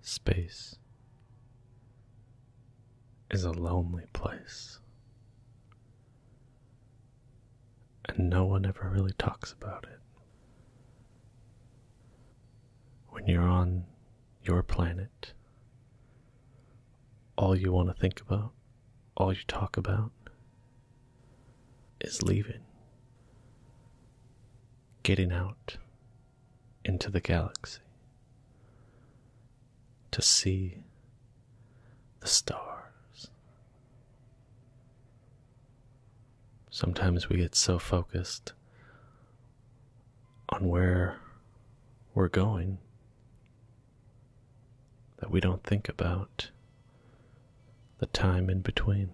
Space is a lonely place, and no one ever really talks about it. When you're on your planet, all you want to think about, all you talk about, is leaving, getting out into the galaxy to see the stars. Sometimes we get so focused on where we're going that we don't think about the time in between.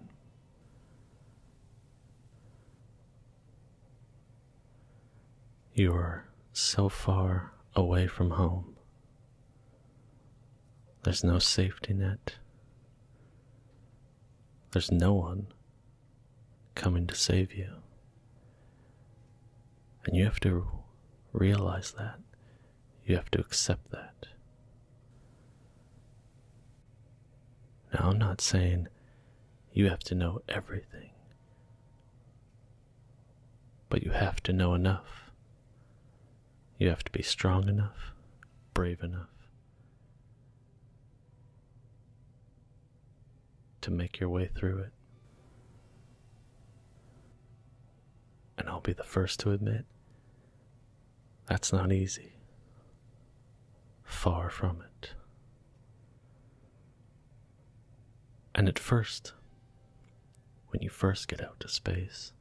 You are so far away from home. There's no safety net. There's no one coming to save you. And you have to realize that. You have to accept that. Now, I'm not saying you have to know everything, but you have to know enough. You have to be strong enough, brave enough to make your way through it. And I'll be the first to admit that's not easy. Far from it. And at first, when you first get out to space,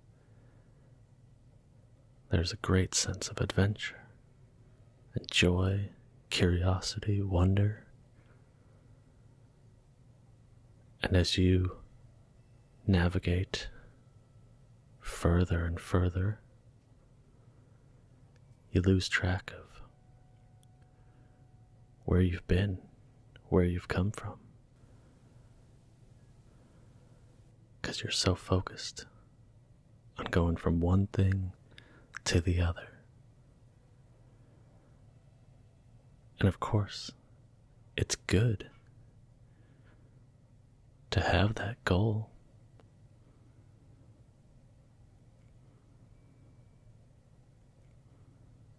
there's a great sense of adventure and joy, curiosity, wonder. And as you navigate further and further, you lose track of where you've been, where you've come from. Because you're so focused on going from one thing to the other. And of course, it's good to have that goal.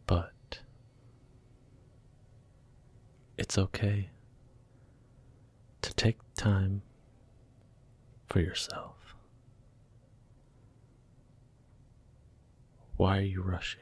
But it's okay to take time for yourself. Why are you rushing?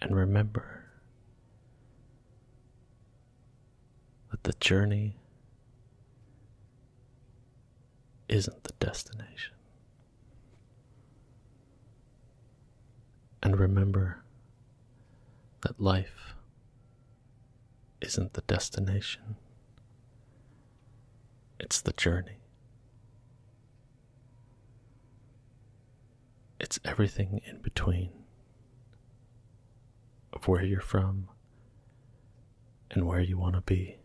And remember that the journey isn't the destination. And remember that life isn't the destination, it's the journey. It's everything in between of where you're from and where you want to be.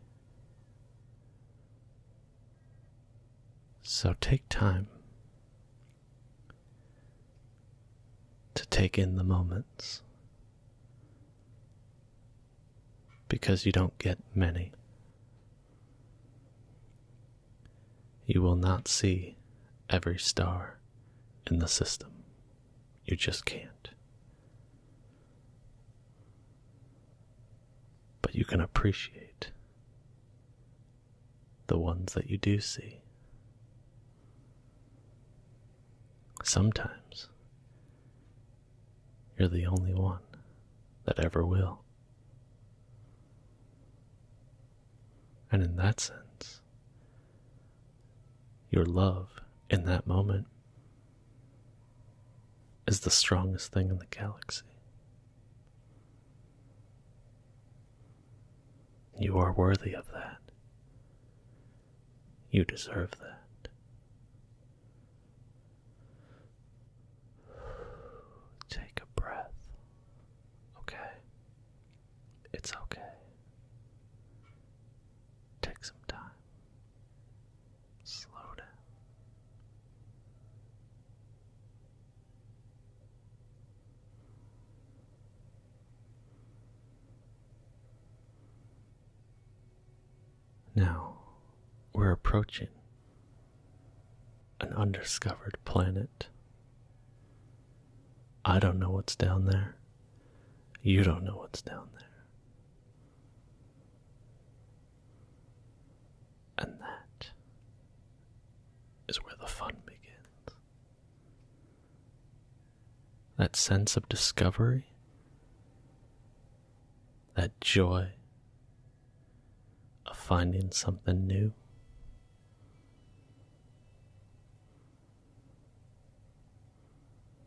So take time to take in the moments, because you don't get many. You will not see every star in the system. You just can't. But you can appreciate the ones that you do see. Sometimes you're the only one that ever will. And in that sense, your love in that moment is the strongest thing in the galaxy. You are worthy of that. You deserve that. Take a breath. Okay. It's okay. Take some time. Slow down. Now we're approaching an undiscovered planet. I don't know what's down there. You don't know what's down there. And that is where the fun begins. That sense of discovery, that joy of finding something new.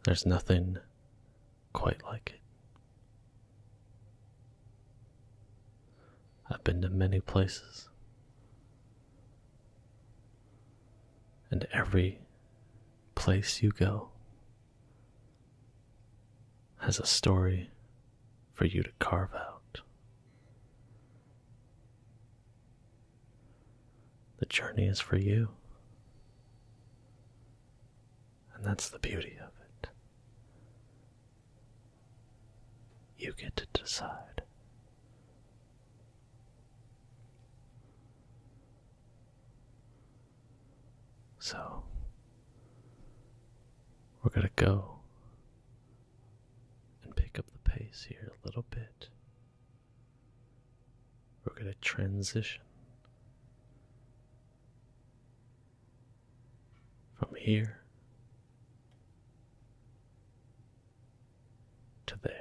There's nothing quite like it. I've been to many places, and every place you go, has a story for you to carve out. The journey is for you. And that's the beauty of it. You get to decide. So, we're going to go and pick up the pace here a little bit. We're going to transition from here to there.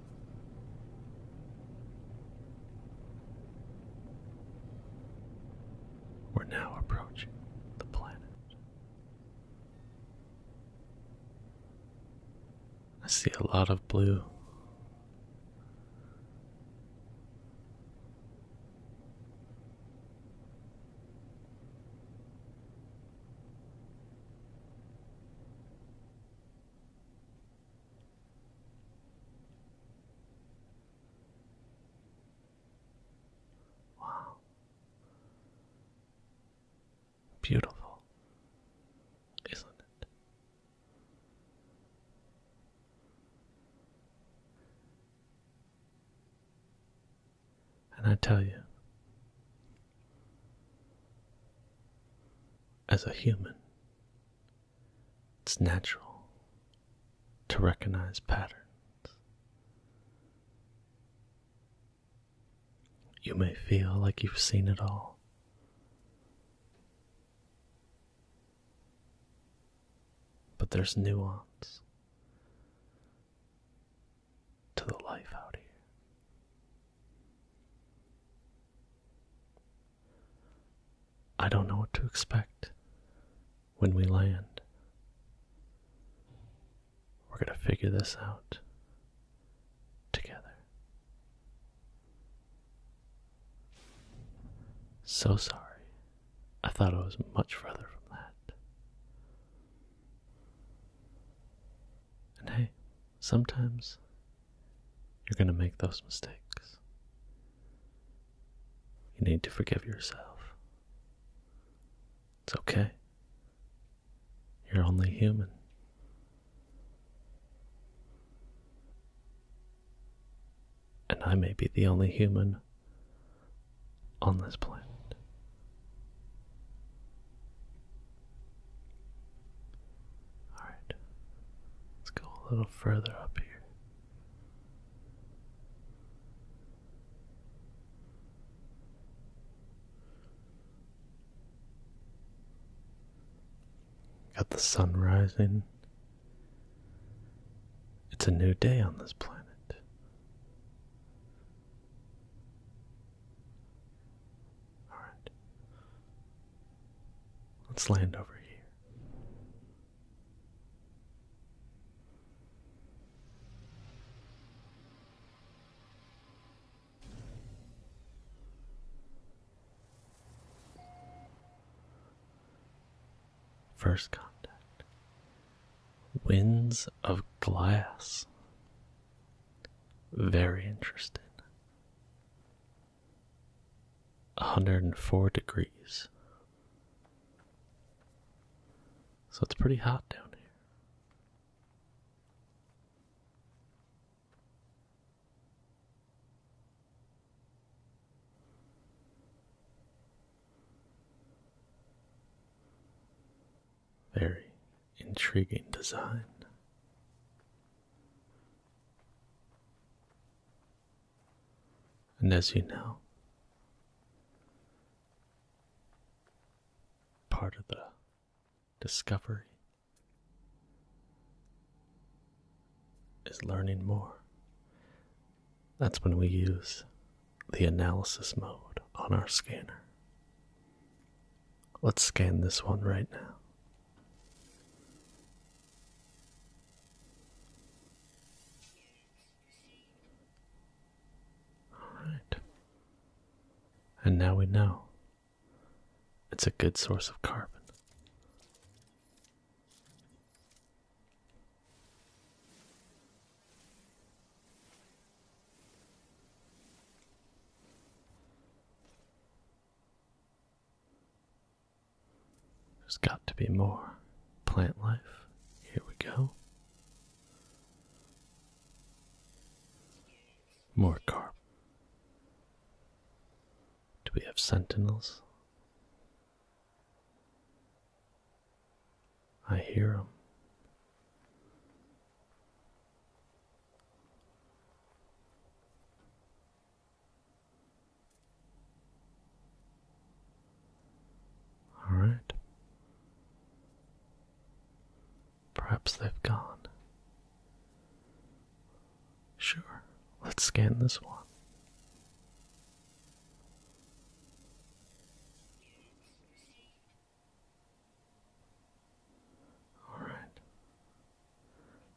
We're now approaching the planet. I see a lot of blue. Wow. Beautiful, isn't it? And I tell you, as a human, it's natural to recognize patterns. You may feel like you've seen it all. But there's nuance to the life out here. I don't know what to expect when we land. We're going to figure this out together. So sorry. I thought I was much further from that. And hey, sometimes you're going to make those mistakes. You need to forgive yourself. It's okay. You're only human. And I may be the only human on this planet. Alright, let's go a little further up here. Got the sun rising. It's a new day on this planet. All right. Let's land over here. First contact. Winds of glass. Very interesting. 104 degrees. So it's pretty hot down here. Very intriguing design. And as you know, part of the discovery is learning more. That's when we use the analysis mode on our scanner. Let's scan this one right now. All right. And now we know it's a good source of carbon. There's got to be more plant life. Here we go. More carp. Do we have sentinels? I hear them. All right. Perhaps they've gone. Sure, let's scan this one. All right.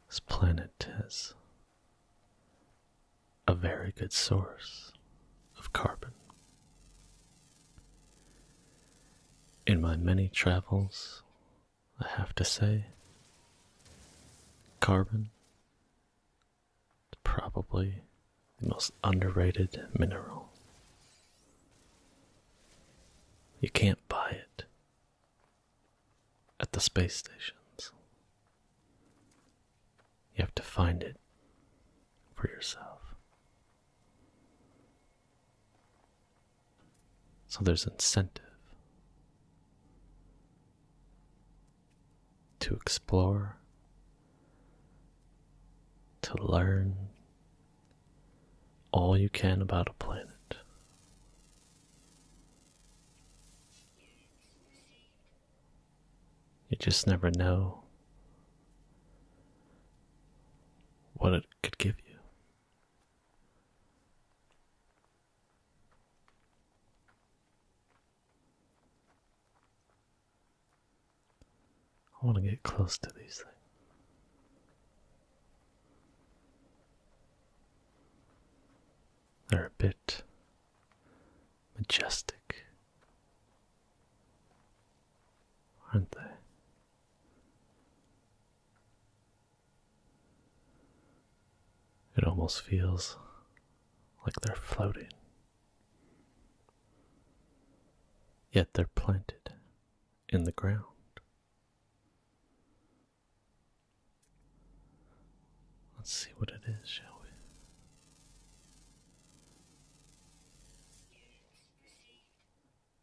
This planet is a very good source of carbon. In my many travels, I have to say, carbon is probably the most underrated mineral. You can't buy it at the space stations. You have to find it for yourself. So there's incentive to explore, to learn all you can about a planet. You just never know what it could give you. I want to get close to these things. They're a bit majestic, aren't they? It almost feels like they're floating. Yet they're planted in the ground. Let's see what it is, shall we?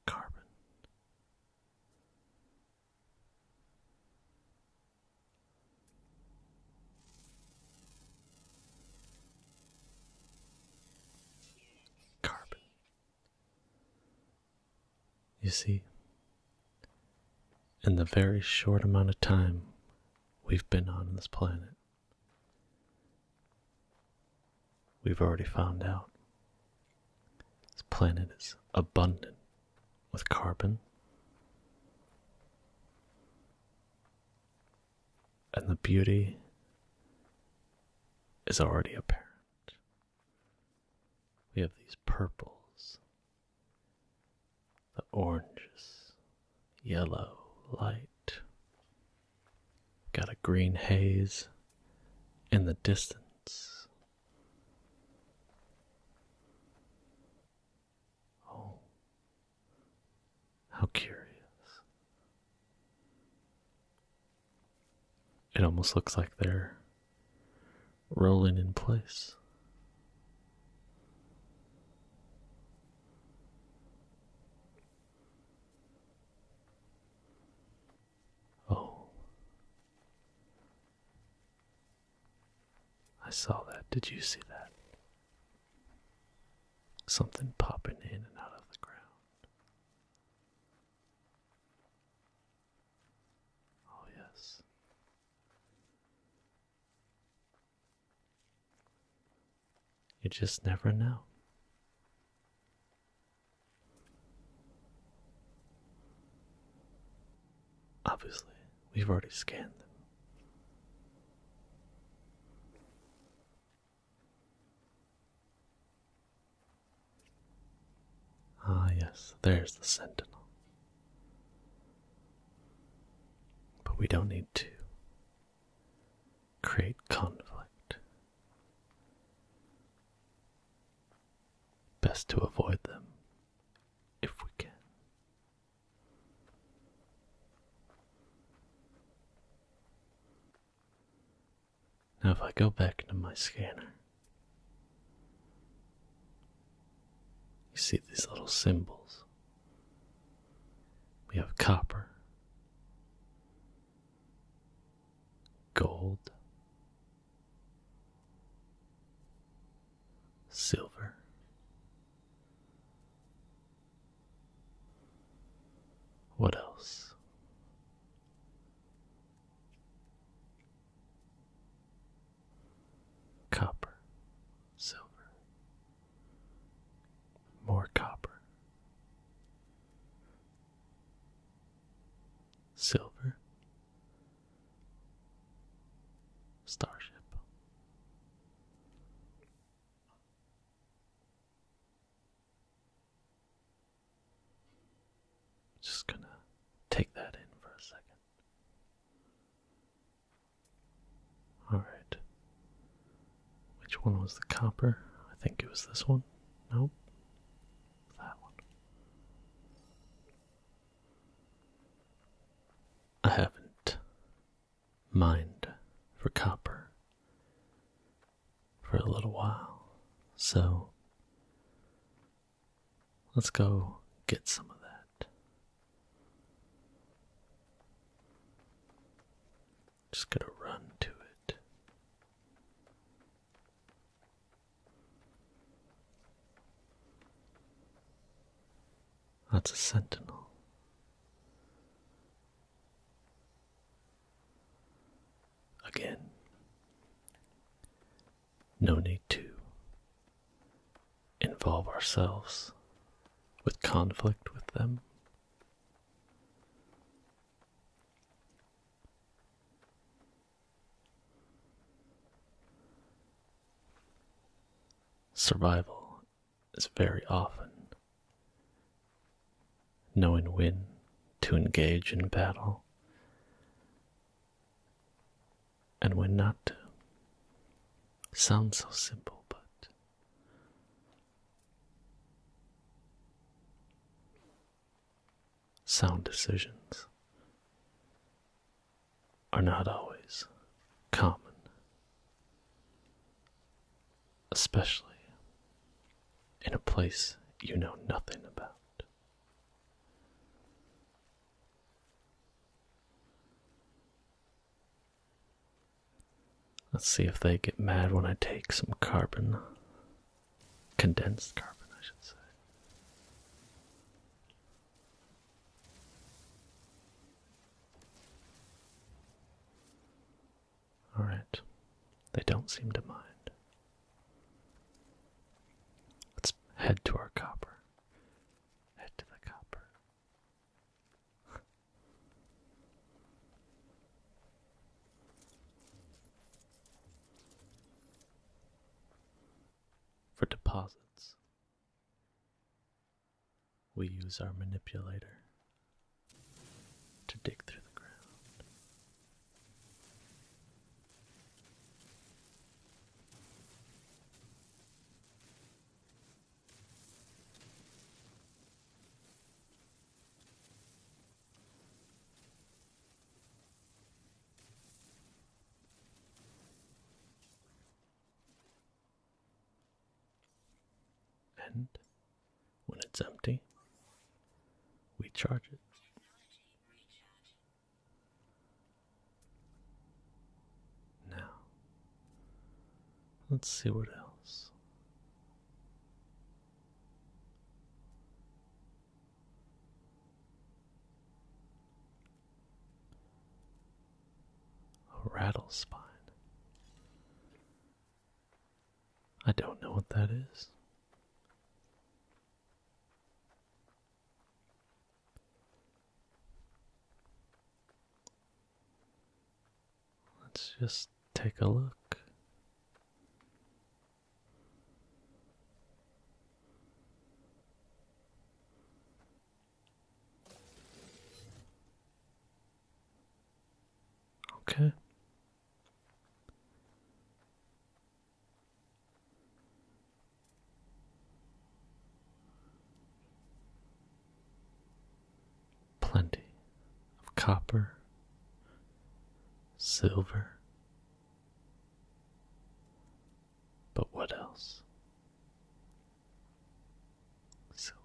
Carbon. Carbon. You see, in the very short amount of time we've been on this planet, we've already found out this planet is abundant with carbon. And the beauty is already apparent. We have these purples, the oranges, yellow light. Got a green haze in the distance. Oh, how curious. It almost looks like they're rolling in place. Oh, I saw that. Did you see that? Something popping in and out of the ground. Oh, yes. You just never know. Obviously, we've already scanned them. Ah, yes, there's the sentinel. But we don't need to create conflict. Best to avoid them if we can. Now, if I go back to my scanner, you see these little symbols. We have copper, gold, silver. What else? copper, silver, more copper, silver, starship. Just gonna take that in for a second. Alright. Which one was the copper? I think it was this one. Nope. That one. I haven't mined for copper for a little while, so Let's go get some of that. Just gonna run to it. That's a sentinel. Again, no need to involve ourselves with conflict with them. Survival is very often knowing when to engage in battle and when not to. Sounds so simple, but sound decisions are not always common, especially in a place you know nothing about. Let's see if they get mad when I take some carbon. Condensed carbon, I should say. Alright, they don't seem to mind. Let's head to our copper. Head to the copper. For deposits, we use our manipulator to dig through the ground. And when it's empty, we charge it. Now, let's see what else. A rattle I don't know what that is. Let's just take a look. Okay. Plenty of copper, silver, but what else? Silver.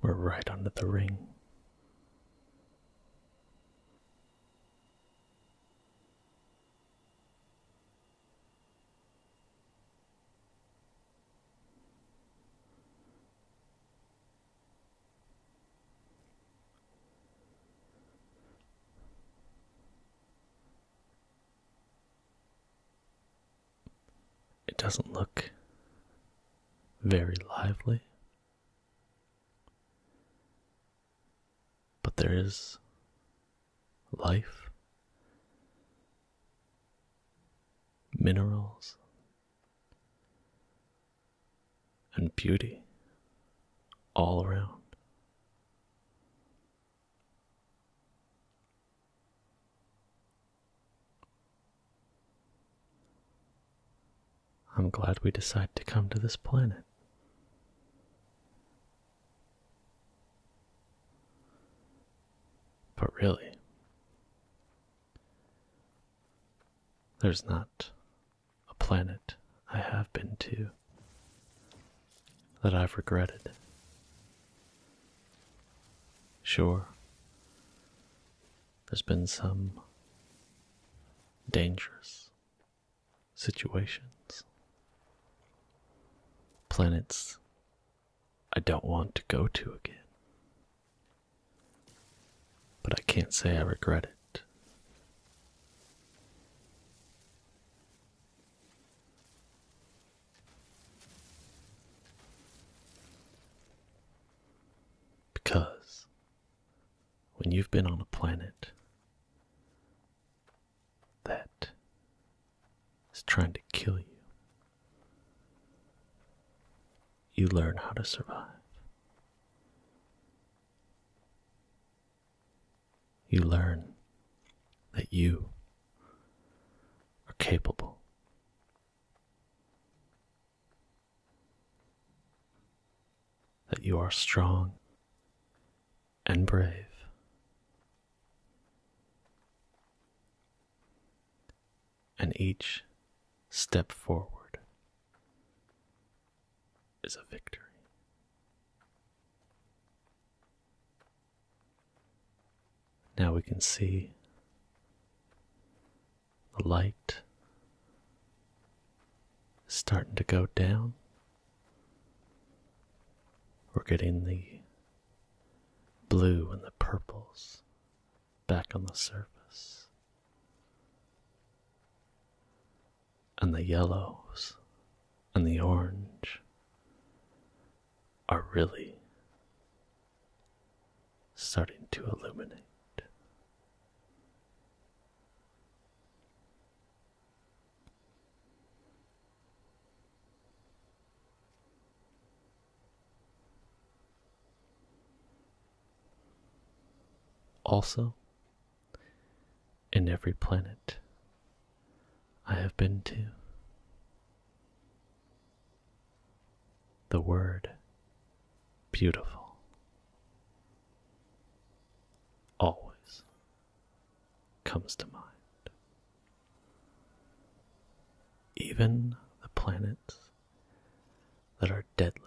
We're right under the ring. It doesn't look very lively, but there is life, minerals, and beauty all around. I'm glad we decided to come to this planet. But really, there's not a planet I have been to that I've regretted. Sure, there's been some dangerous situations, planets I don't want to go to again. But I can't say I regret it. Because when you've been on a planet that is trying to kill you, you learn how to survive you learn that you are capable. That you are strong and brave. And each step forward is a victory. Now we can see the light starting to go down. We're getting the blue and the purples back on the surface and the yellows and the orange are really starting to illuminate. Also, in every planet I have been to. The word beautiful always comes to mind. Even the planets that are deadly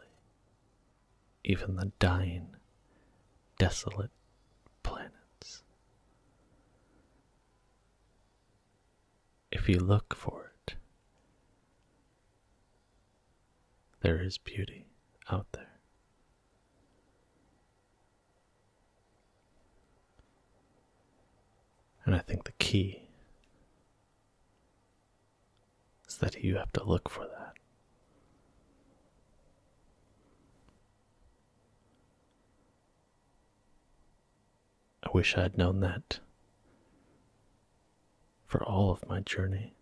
even the dying, desolate planets. If you look for it, there is beauty out there. And I think the key is that you have to look for that. I wish I had known that for all of my journey.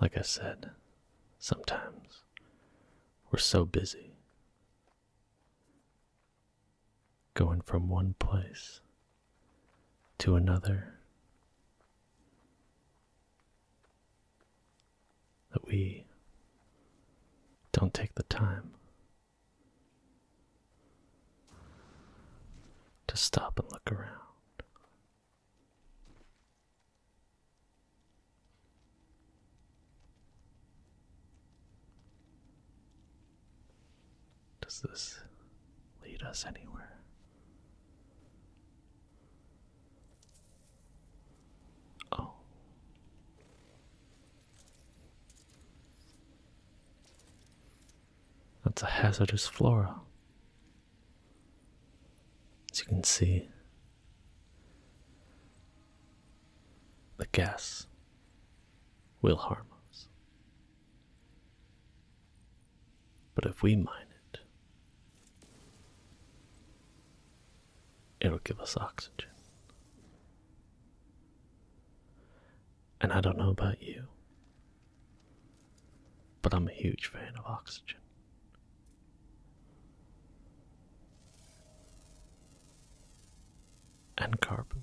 Like I said, sometimes we're so busy going from one place to another. That we don't take the time to stop and look around. Does this lead us anywhere? Oh. That's a hazardous flora. As you can see, the gas will harm us. But if we mine it, it'll give us oxygen. And I don't know about you, but I'm a huge fan of oxygen. And carbon.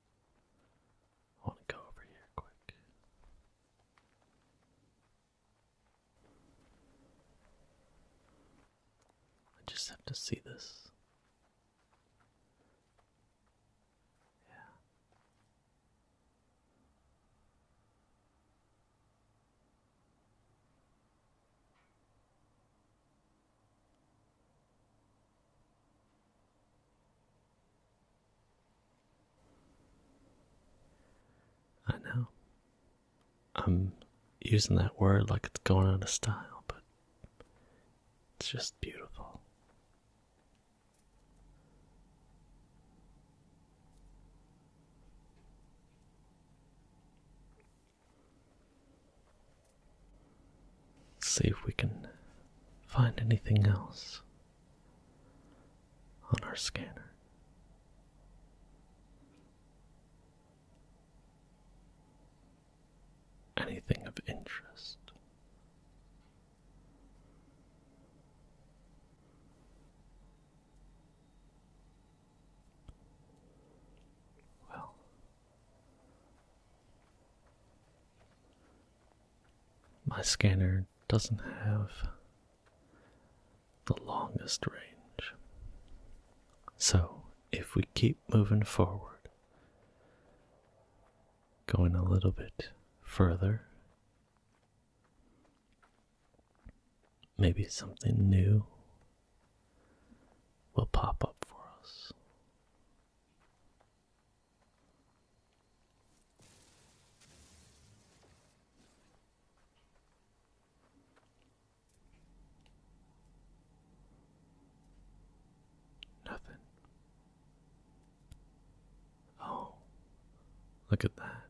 I want to go over here quick. I just have to see this. Yeah. I know. I'm using that word like it's going out of style, but it's just beautiful. see if we can find anything else on our scanner. Anything of interest. Well, my scanner doesn't have the longest range. So, if we keep moving forward, going a little bit further, maybe something new will pop up for us. Nothing. Oh, look at that.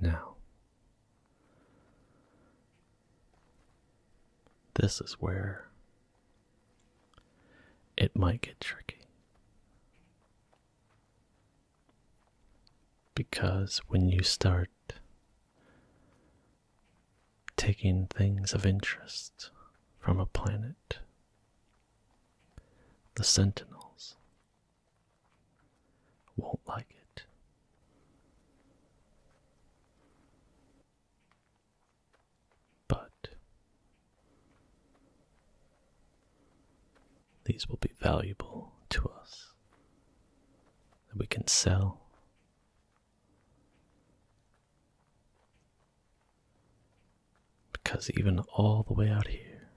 Now, this is where it might get tricky. Because when you start taking things of interest from a planet, the Sentinels won't like it. But these will be valuable to us that we can sell. Because even all the way out here,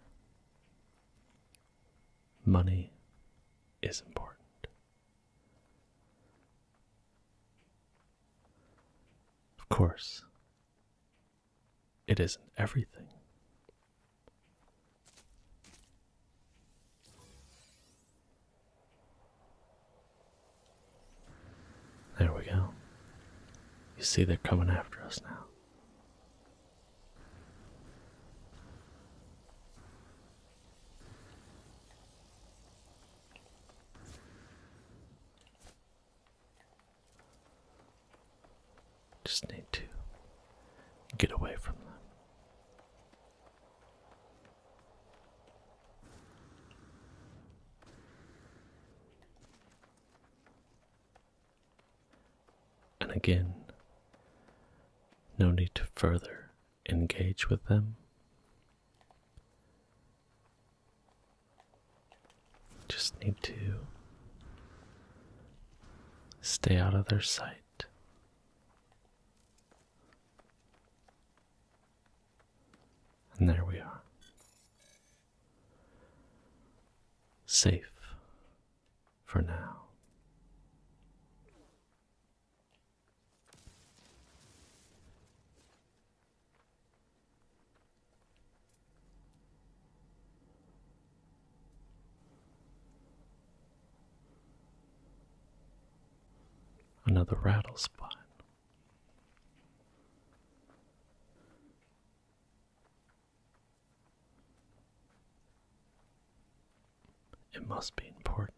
money is important. Of course, it isn't everything. There we go. You see, they're coming after us now. Just need to get away from them. And again, no need to further engage with them. Just need to stay out of their sight. And there we are. Safe for now. Another rattle It must be important.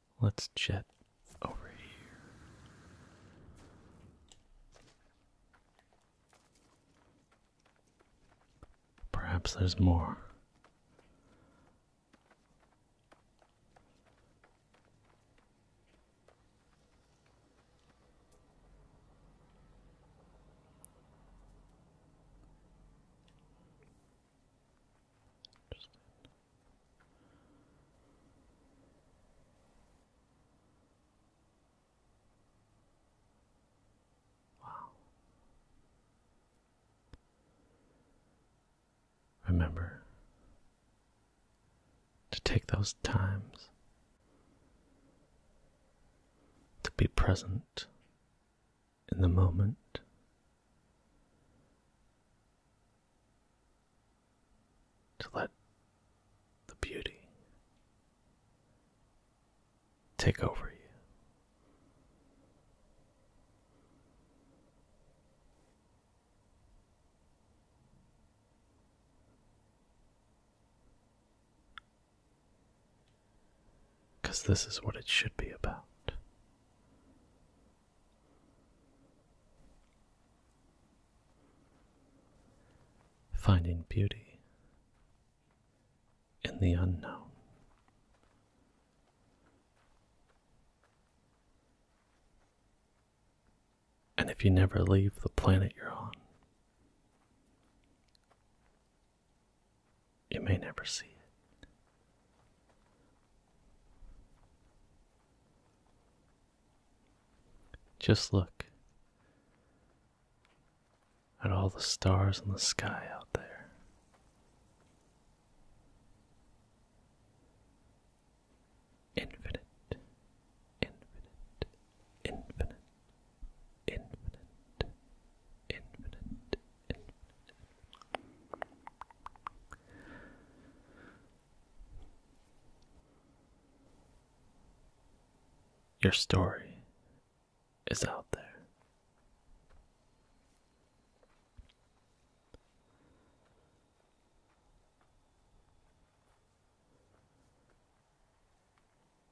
Let's jet over here. Perhaps there's more. Wow. Remember to take those times to be present in the moment to let the beauty take over you. Because this is what it should be about. Finding beauty in the unknown. And if you never leave the planet you're on, you may never see it. Just look at all the stars in the sky out there. Infinite, infinite, infinite, infinite, infinite, infinite. Your story is out there.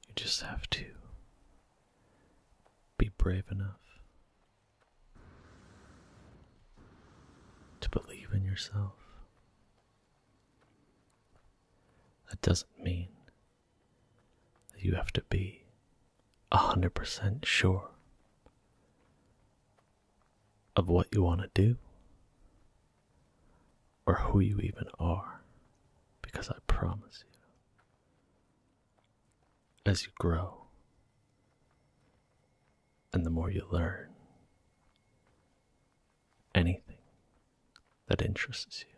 You just have to be brave enough to believe in yourself. That doesn't mean that you have to be a hundred percent sure of what you want to do or who you even are, because I promise you, as you grow, and the more you learn anything that interests you.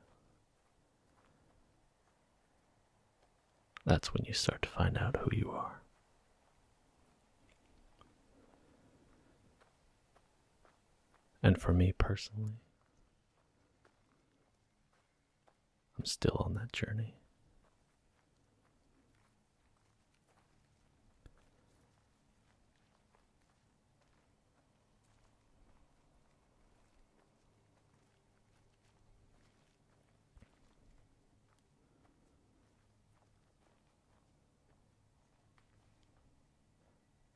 That's when you start to find out who you are. And for me personally, I'm still on that journey.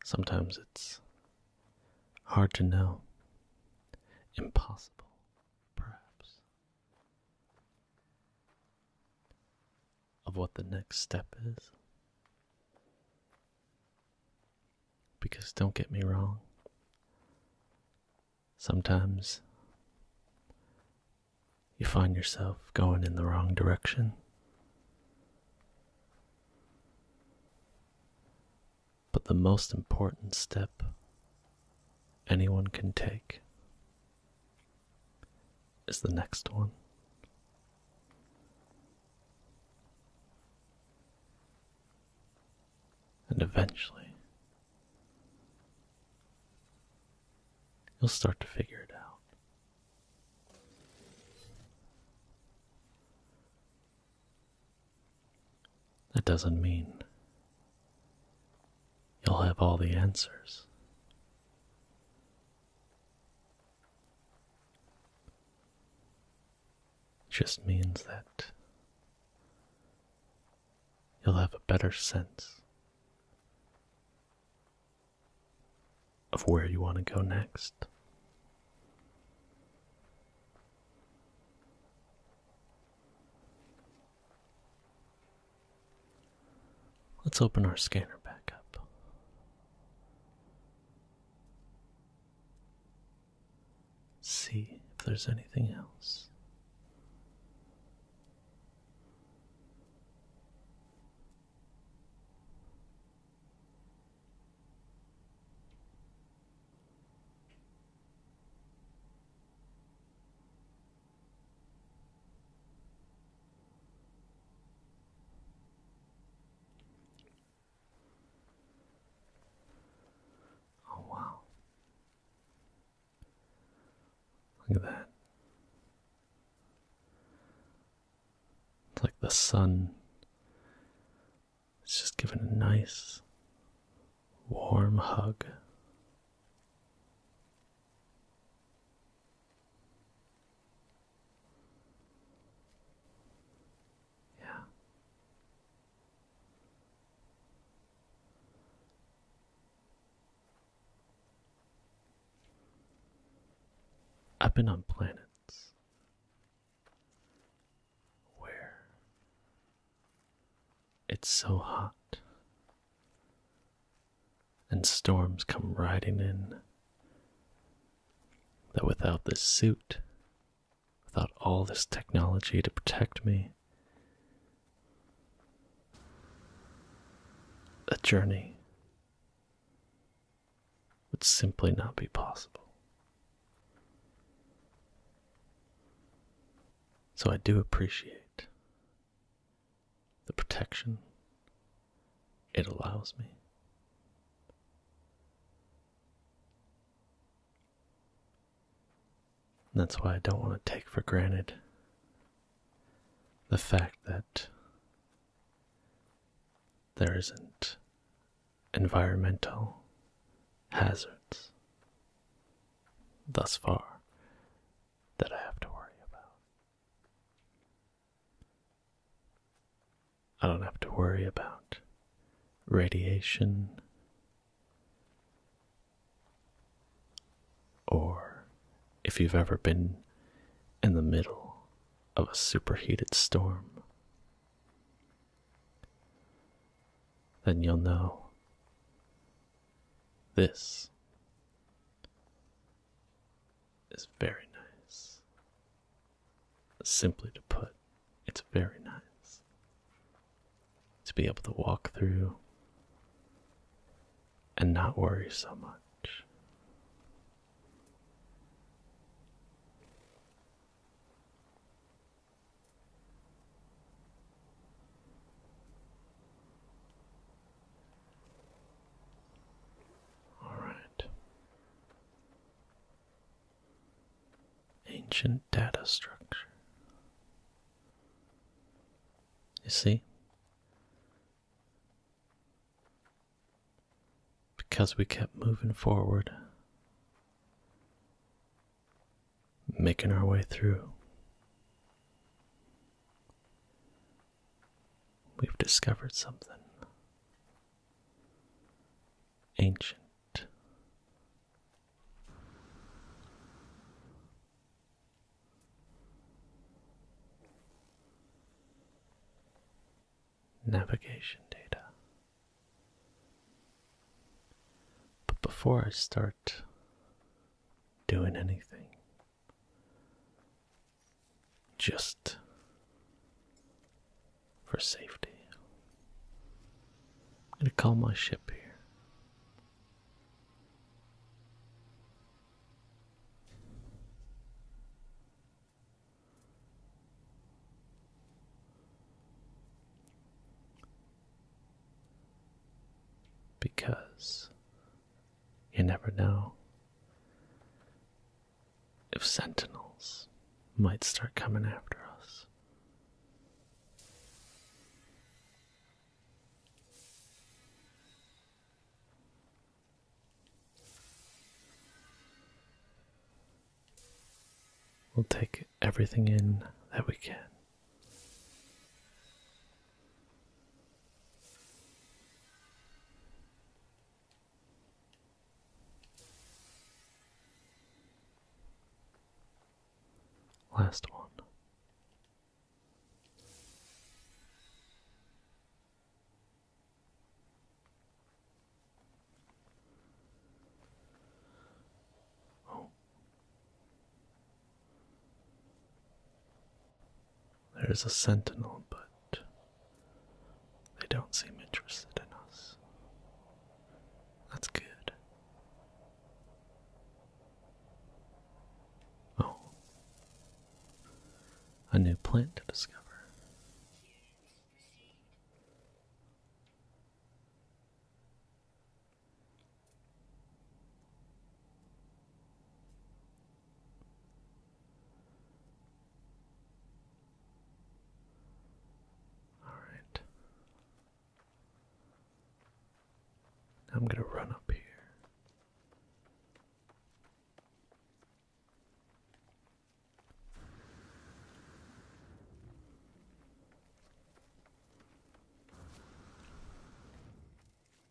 Sometimes it's hard to know, impossible, perhaps, of what the next step is. Because don't get me wrong, sometimes you find yourself going in the wrong direction. But the most important step anyone can take is the next one. And eventually, you'll start to figure it out. That doesn't mean you'll have all the answers. It just means that you'll have a better sense of where you want to go next. Let's open our scanner back up. See if there's anything else. Oh, wow. Look at that. It's like the sun. It's just giving a nice warm hug. Yeah. I've been on planets where it's so hot and storms come riding in. That without this suit, without all this technology to protect me, a journey would simply not be possible. So I do appreciate the protection it allows me. that's why I don't want to take for granted the fact that there isn't environmental hazards thus far that I have to worry about. I don't have to worry about radiation or if you've ever been in the middle of a superheated storm, then you'll know this is very nice. Simply to put, it's very nice to be able to walk through and not worry so much. All right. Ancient data structure. You see? Because we kept moving forward, making our way through, We've discovered something ancient. Navigation data. But before I start doing anything, just for safety. I'm going to call my ship here. Because you never know if sentinels might start coming after us. We'll take everything in that we can. Last one. Oh, there's a sentinel, but they don't seem interested in us. That's good. Oh, a new plant to discover. All right. I'm going to run up here.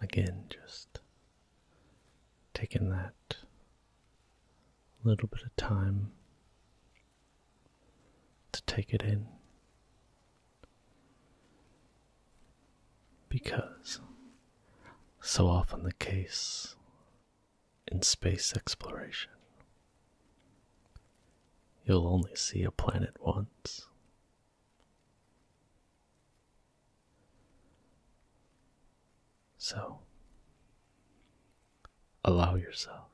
Again, just taking that little bit of time to take it in. Because, so often the case in space exploration, you'll only see a planet once. So, allow yourself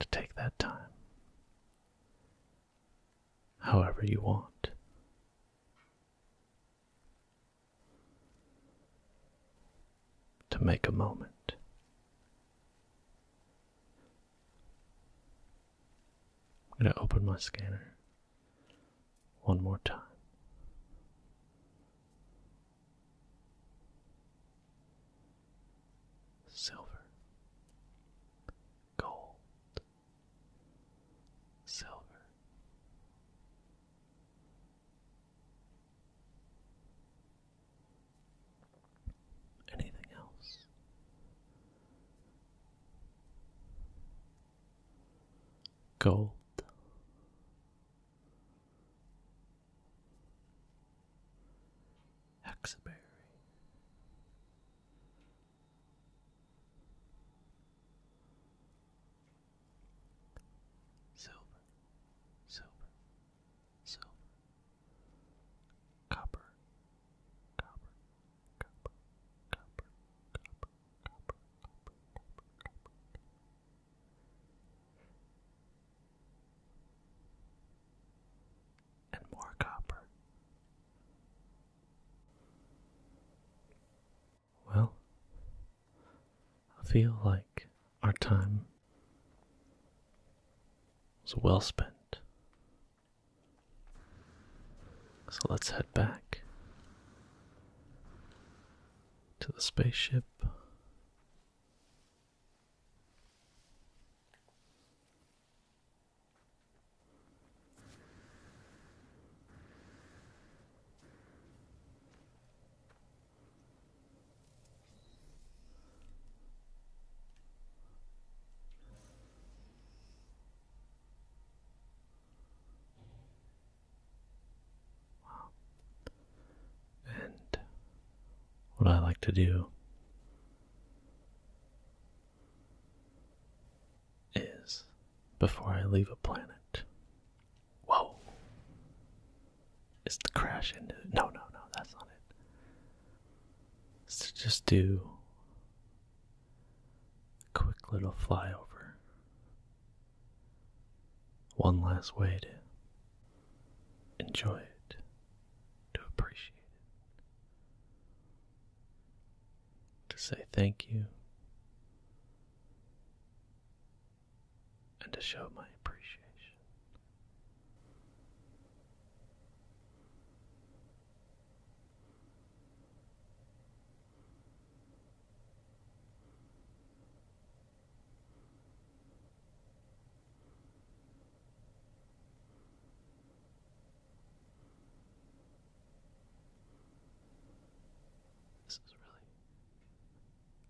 to take that time however you want. To make a moment I'm going to open my scanner one more time. Silver, gold, silver. Anything else? gold. Huxaberry. Silver, silver, silver, copper, copper, copper, copper, copper, copper, copper, copper, copper. And more copper. Well, I feel like our time was well spent. So let's head back to the spaceship. Wow. And what I like to do is before I leave a planet. Whoa. Is to crash into it. No, no, no, that's not it. to just do Quick little flyover. One last way to enjoy it, to appreciate it, to say thank you, and to show my appreciation. This is really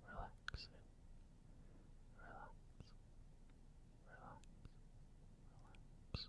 relaxing. Relax. Relax. Relax. Relax.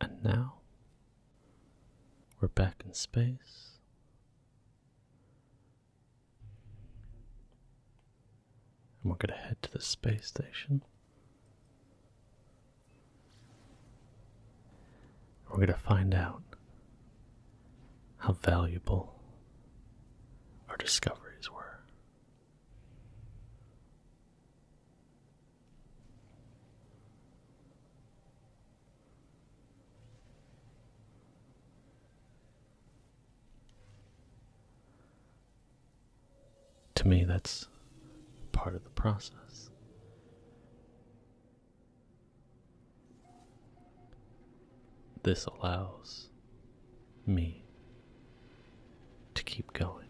And now we're back in space. And we're going to head to the space station. We're going to find out how valuable our discoveries were. To me, that's part of the process. This allows me to keep going,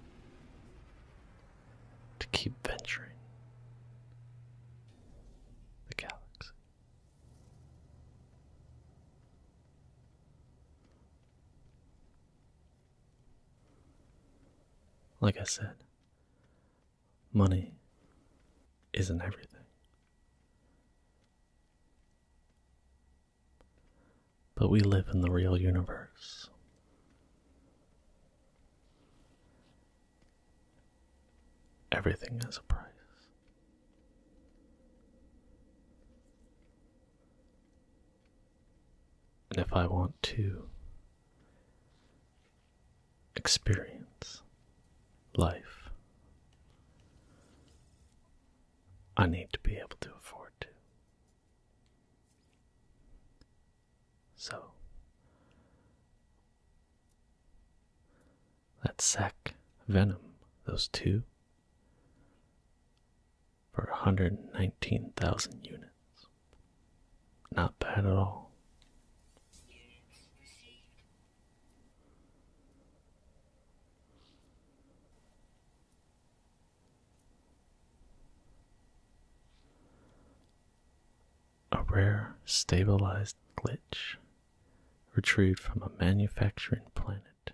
to keep venturing the galaxy. Like I said, money isn't everything. But we live in the real universe. Everything has a price. And if I want to experience life. I need to be able to afford to. So that sack venom, those two, for 119,000 units. Not bad at all. A rare stabilized glitch retrieved from a manufacturing planet,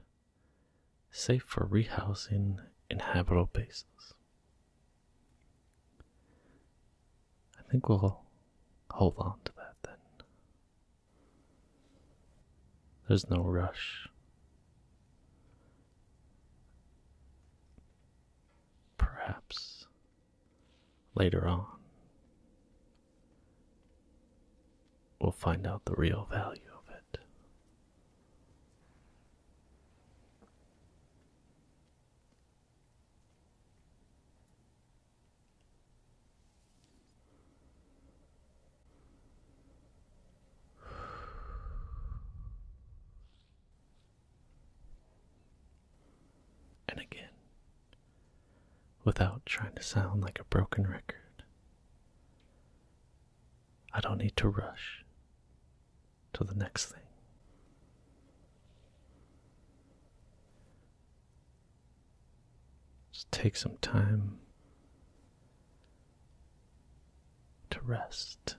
safe for rehousing in habitable bases. I think we'll hold on to that then. There's no rush. Perhaps later on, we'll find out the real value of it. And again, without trying to sound like a broken record, I don't need to rush to the next thing. Just take some time to rest,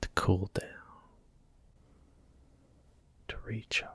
to cool down, to recharge.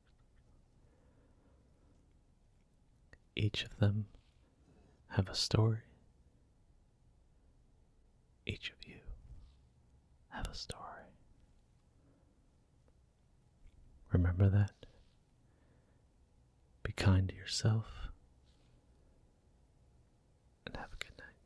Each of them have a story. Each of you have a story. Remember that. Be kind to yourself and have a good night.